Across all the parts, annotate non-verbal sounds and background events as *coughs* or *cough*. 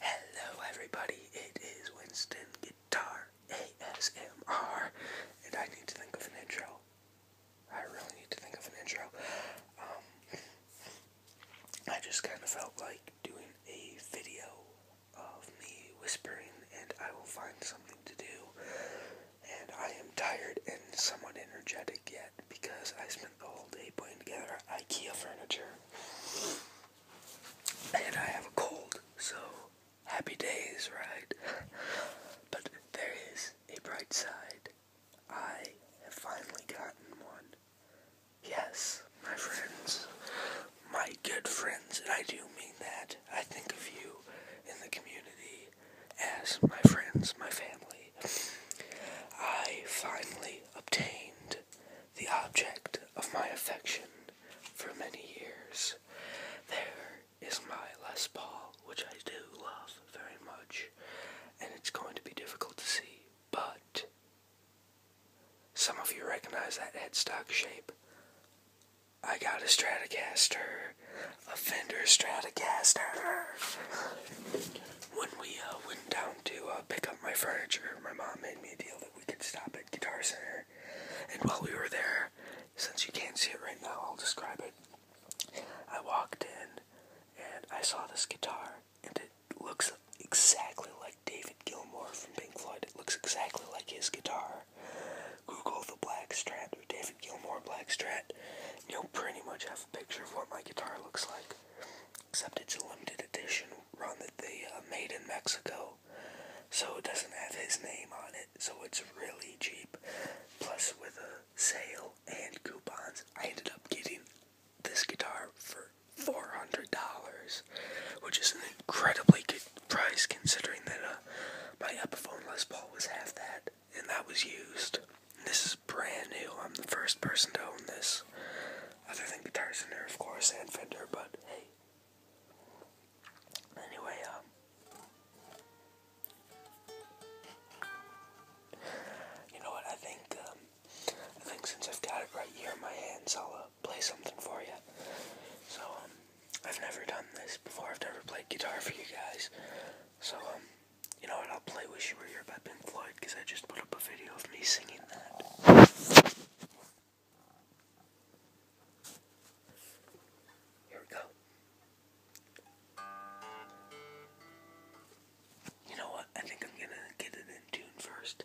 Hello everybody, it is Winston Guitar ASMR, and I need to think of an intro. I really need to think of an intro. Um, I just kind of felt like doing a video of me whispering, and I will find something to do. And I am tired and somewhat energetic yet because I spent the whole day putting together IKEA furniture. And I have a cold, so happy days, right? *laughs* but there is a bright side. I have finally gotten one. Yes, my friends. My good friends, and I do mean that. I think of you in the community as my friends, my family. I finally obtained the object of my affection for many years. There is my Les Paul, which I do love very much, and it's going to be difficult to see, but some of you recognize that headstock shape. I got a Stratocaster, a Fender Stratocaster when we uh, went down to uh, pick up my furniture, my mom made me a deal that we could stop at Guitar Center. And while we were there, since you can't see it right now, I'll describe it. I walked in and I saw this guitar, and it looks exactly like David Gilmour from Pink Floyd. It looks exactly like his guitar. Google the Black Strat or David Gilmour Black Strat, you'll pretty much have a picture of what my guitar looks like. Except it's a limited edition one that they uh, made in Mexico. So it doesn't have his name on it. So it's really cheap. Plus with a sale and coupons, I ended up getting this guitar for $400, which is an incredibly good price considering that uh, my Epiphone Les Paul was half that, and that was used. This brand new. I'm the first person to own this. Other than Guitar Center, of course, and Fender, but hey. Anyway, um. You know what? I think um, I think since I've got it right here in my hands, I'll uh, play something for you. So um, I've never done this before. I've never played guitar for you guys. So um, you know what? I'll play "Wish You Were Here" by Pink Floyd because I just put up a video of me singing that. Here we go. You know what? I think I'm gonna get it in tune first.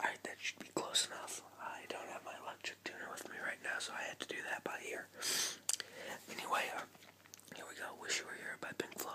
Alright, that should be close enough. I don't have my electric tuner with me right now, so I had to do that by ear. Anyway, uh, here we go. Wish You Were Here by Pink Floyd.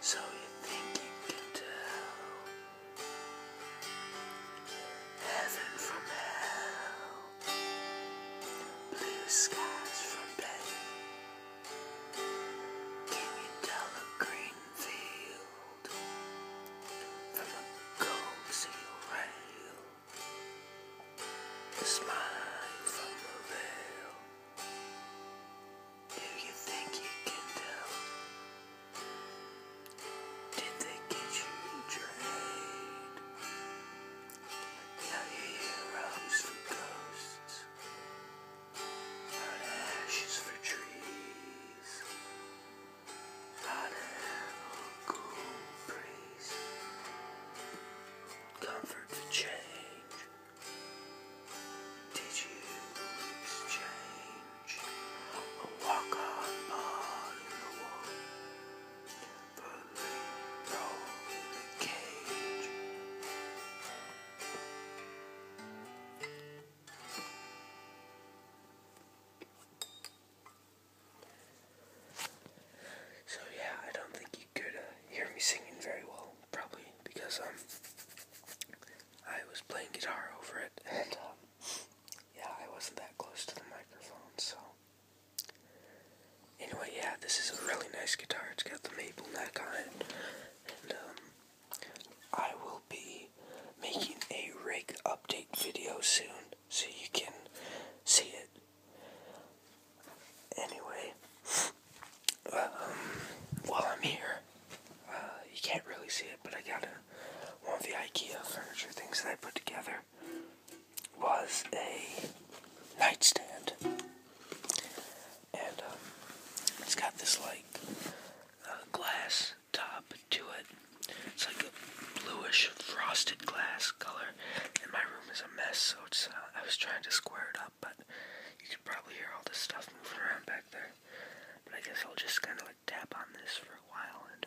So you think you can tell heaven from hell, blue skies from pain? Can you tell a green field from a gold seal rail? The smile from the veil. Do you think you can tell? Did they get you trade? Now you heroes for ghosts, not ashes for trees, not a cool breeze. Comfort for change. Did you exchange a walk on ball in the wall for a roll in the cage? So yeah, I don't think you could uh, hear me singing very well probably because um I was playing guitar over it and um, yeah I wasn't that close to the microphone so anyway yeah this is a really nice guitar it's got the maple neck on it and um I will be making a rig update video soon so you can see it anyway um, while I'm here, uh, you can't really see it, but I got one of the IKEA furniture things that I put together was a nightstand, and um, it's got this like uh, glass top to it. It's like a bluish frosted glass color, and my room is a mess, so uh, I was trying to square it up but you can probably hear all this stuff moving around back there. But I guess I'll just kind of like tap on this for a while and.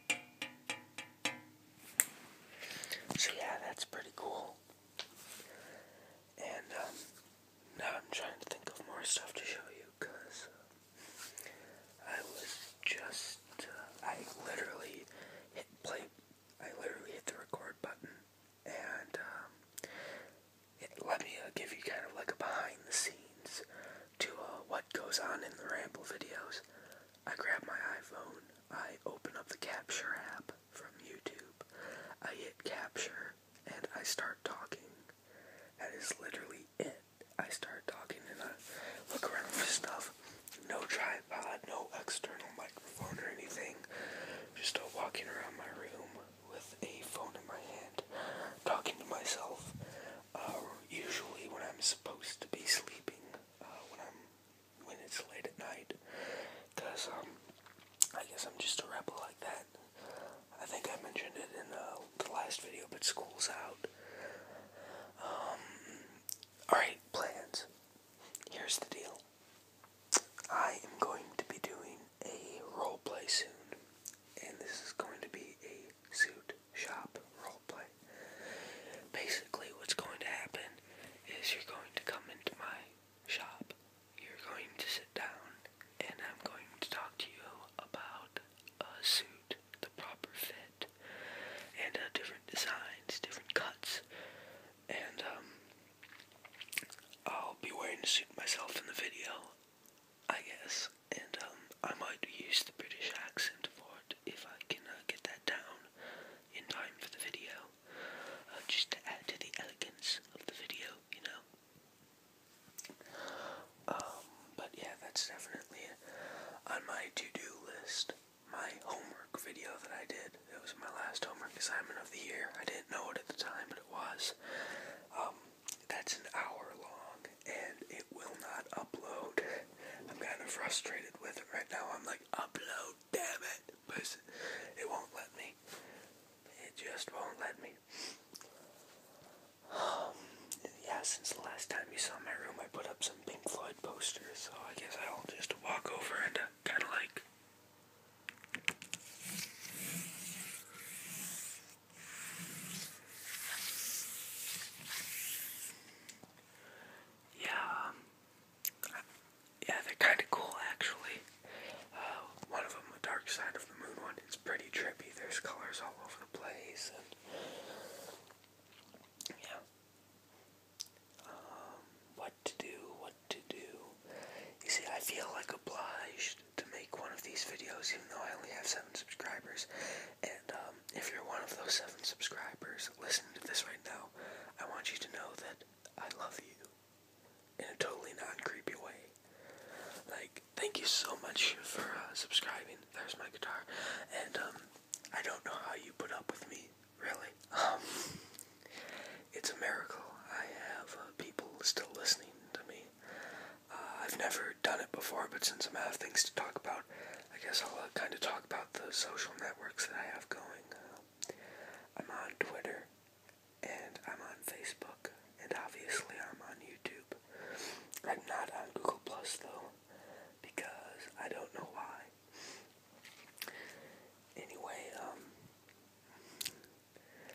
So yeah, that's pretty cool. And um, now I'm trying to think of more stuff to show you because uh, I was just, uh, I literally hit play, I literally hit the record button and um, let me uh, give you kind of like a behind the scenes to what goes on in the Ramble videos. I grab my iPhone, I open up the Capture app from YouTube, I hit Capture, and I start talking. That is literally it. I start talking and I look around for stuff. No tripod, no external microphone or anything. Just walking around my room with a phone in my hand, talking to myself. Uh, usually when I'm supposed to be sleeping, uh, when I'm when it's late at night, cause um, I guess I'm just a rebel like that. I think I mentioned it in uh, the last video, but school's out. Um, alright, plans. Here's the deal. I am going to be doing a role play soon, and this is going to be a suit shop roleplay. Basically, what's going to happen is you're going to come into my shop, you're going to sit down, and I'm going to talk to you about a suit, the proper fit, and uh, different designs, different cuts, and um, I'll be wearing a suit myself in the video, I guess, and um, I might use the British accent for it, if I can uh, get that down in time for the video, uh, just to add to the elegance of the video, you know. Um, but yeah, that's definitely on my to-do list. My homework video that I did, it was my last homework assignment of the year. I didn't know it at the time, but it was. Um, that's an hour long, and it will not upload. I'm kind of frustrated with it right now. I'm like, upload, damn it. it won't let me. It just won't let me. Um, yeah, since the last time you saw my room, I put up some Pink Floyd posters, so I guess I'll just walk over and uh, kind of like. Yeah, um, yeah, they're kind of cool actually. Uh, one of them, the Dark Side of the Moon one, it's pretty trippy. There's colors all over the place, and yeah. Um, what to do? What to do? You see, I feel like obliged to make one of these videos, even though I only have seven subscribers, and uh, um, if you're one of those seven subscribers listening to this right now, I want you to know that I love you in a totally non-creepy way. Like, thank you so much for uh, subscribing. There's my guitar, and um, I don't know how you put up with me, really. Um, it's a miracle. I have uh, people still listening to me. Uh, I've never done it before, but since i have things to talk about, I guess I'll kind of talk talk about the social networks that I have going. Uh, I'm on Twitter, and I'm on Facebook, and obviously I'm on YouTube. I'm not on Google Plus though, because I don't know why. Anyway, um,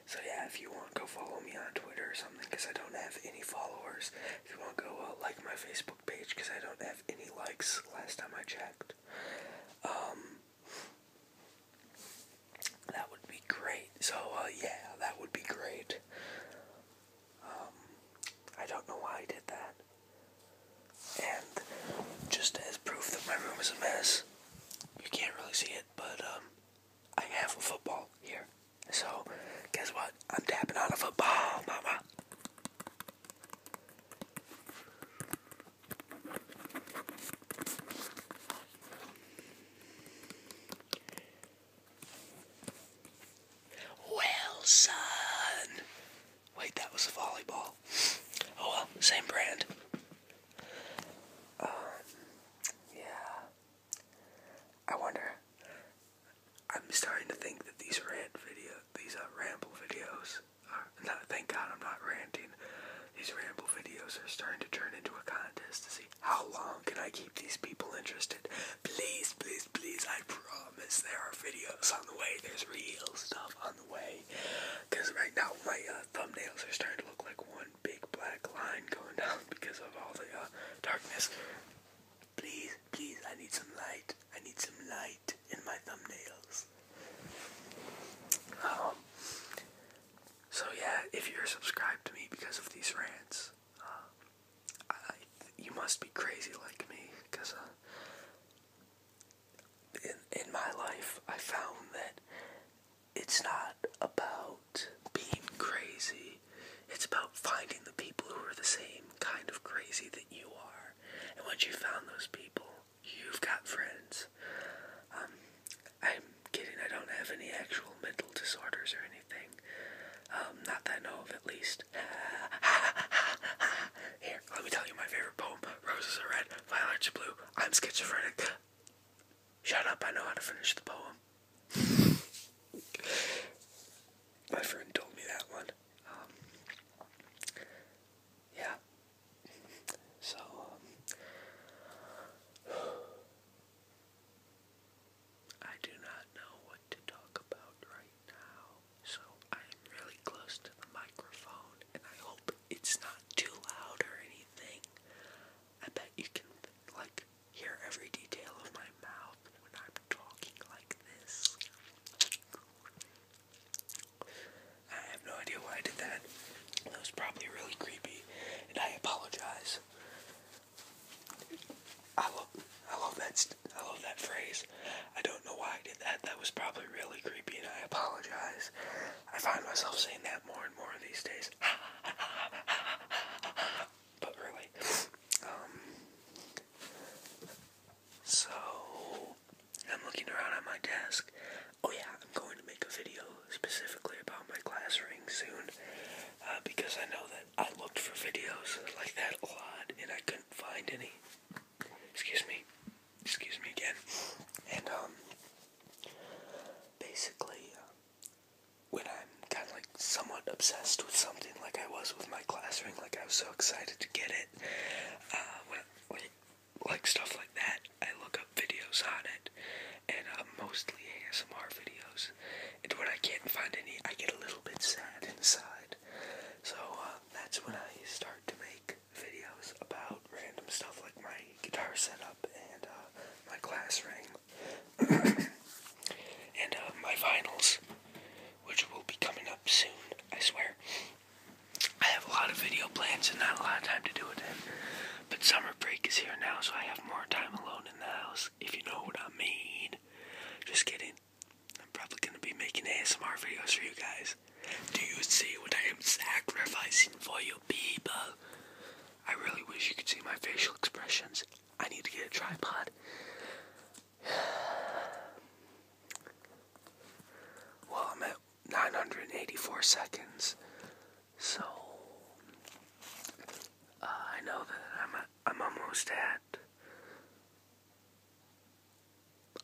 so yeah, if you want, go follow me on Twitter or something, because I don't have any followers. If you want, go uh, like my Facebook page because I don't have any likes last time I checked. Um, that would be great. So, uh, yeah, that would be great. Um, I don't know why I did that. And just as proof that my room is a mess, you can't really see it, but um, I have a football here. So, guess what? I'm tapping on a football, mama. Wilson! Wait, that was a volleyball. Oh well, same brand. Um, yeah. I wonder. I'm starting to think that these rant videos these uh, ramble videos. thank God I'm not ranting. These ramble videos are starting to turn into a contest to see how long can I keep these people interested. Please, please, please! I promise there are videos on the way. There's real stuff on the way. Cause right now my uh, thumbnails are starting to look like one big black line going down because of all the uh, darkness. Please, please, I need some light. I need some light in my thumbnails. Um, so yeah, if you're subscribed to me because of these rants, uh, you must be crazy like me, because uh, in, in my life, I found that it's not about being crazy, it's about finding the people who are the same kind of crazy that you are. And once you found those people, you've got friends. Um, I'm kidding, I don't have any actual mental disorders or anything. Um, not that I know of, at least. *laughs* Here, let me tell you my favorite poem Roses are red, violets are blue. I'm schizophrenic. Shut up, I know how to finish the poem. *laughs* My friend told me that one. Um, yeah. So, um, I do not know what to talk about right now. So, I am really close to the microphone, and I hope it's not too loud or anything. I bet you can, like, hear every detail of my mouth when I'm talking like this. I have no idea why I did that. That was probably really creepy, and I apologize. I love, I love that, I love that phrase. I don't know why I did that. That was probably really creepy, and I apologize. I find myself saying that more and more these days. *laughs* but really, um, so, I'm looking around at my desk. Oh, yeah, I'm going to make a video specifically about my glass ring soon uh, because I know that I looked for videos like that a lot and I couldn't find any. Excuse me. Excuse me again. And, um, basically, when I'm kind of like somewhat obsessed with something like I was with my glass ring, like I was so excited get it. Uh, like, stuff like that, I look up videos on it, and uh, mostly ASMR videos. And when I can't find any, I get a little bit sad inside. So uh, that's when I start to make videos about random stuff like my guitar setup and uh, my class ring *coughs* and uh, my vinyls which will be coming up soon, I swear. I have a lot of video plans and not a lot of time to do it But summer break is here now, so I have more time alone in the house, if you know what I mean. Just kidding. I'm probably going to be making ASMR videos for you guys. Do you see what I am sacrificing for you people? I really wish you could see my facial expressions. I need to get a tripod. Well, I'm at 984 seconds, so uh, I know that I'm I'm almost at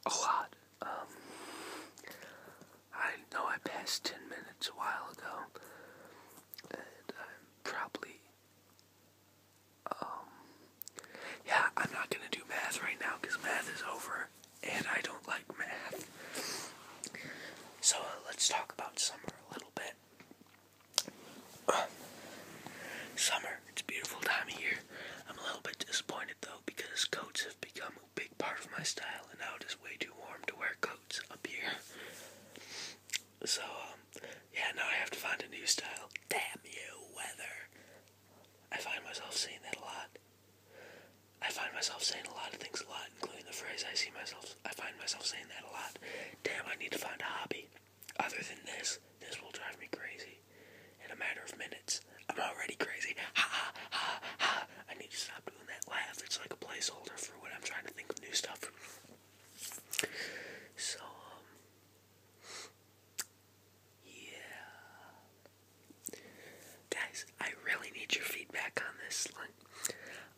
a lot. Um, I know I passed 10 minutes a while ago, and I'm probably um, yeah, I'm not gonna do math right now because math is over and I don't like math. So uh, let's talk about summer a little bit. *sighs* summer, it's a beautiful time of year. I'm a little bit disappointed though because coats have become a big part of my style and now it is way too warm to wear coats up here. So, um, yeah, now I have to find a new style. Damn you, weather. I find myself saying that a lot. I find myself saying a lot of things a lot, including the phrase I see myself. I find myself saying that a lot. Damn, I need to find a hobby. Other than this, this will drive me crazy. In a matter of minutes, I'm already crazy. Ha ha ha ha. I need to stop doing that laugh. It's like a placeholder for when I'm trying to think of new stuff. So, um, yeah. Guys, I really need your feedback on this. Like,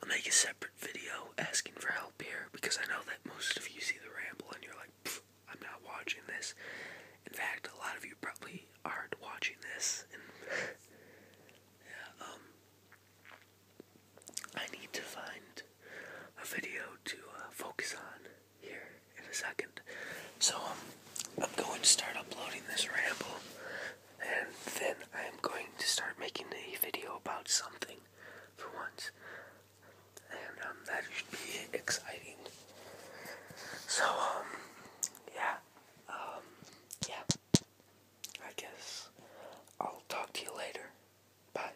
I'll make a separate video asking for help here because I know that most of you see the ramble and you're like, I'm not watching this. In fact, a lot of you probably aren't watching this. yeah, um, I need to find a video to uh, focus on here in a second. So um, I'm going to start uploading this ramble, and then I'm going to start making a video about something for once, and um, that should be exciting. So um, yeah, yeah. I guess I'll talk to you later. Bye.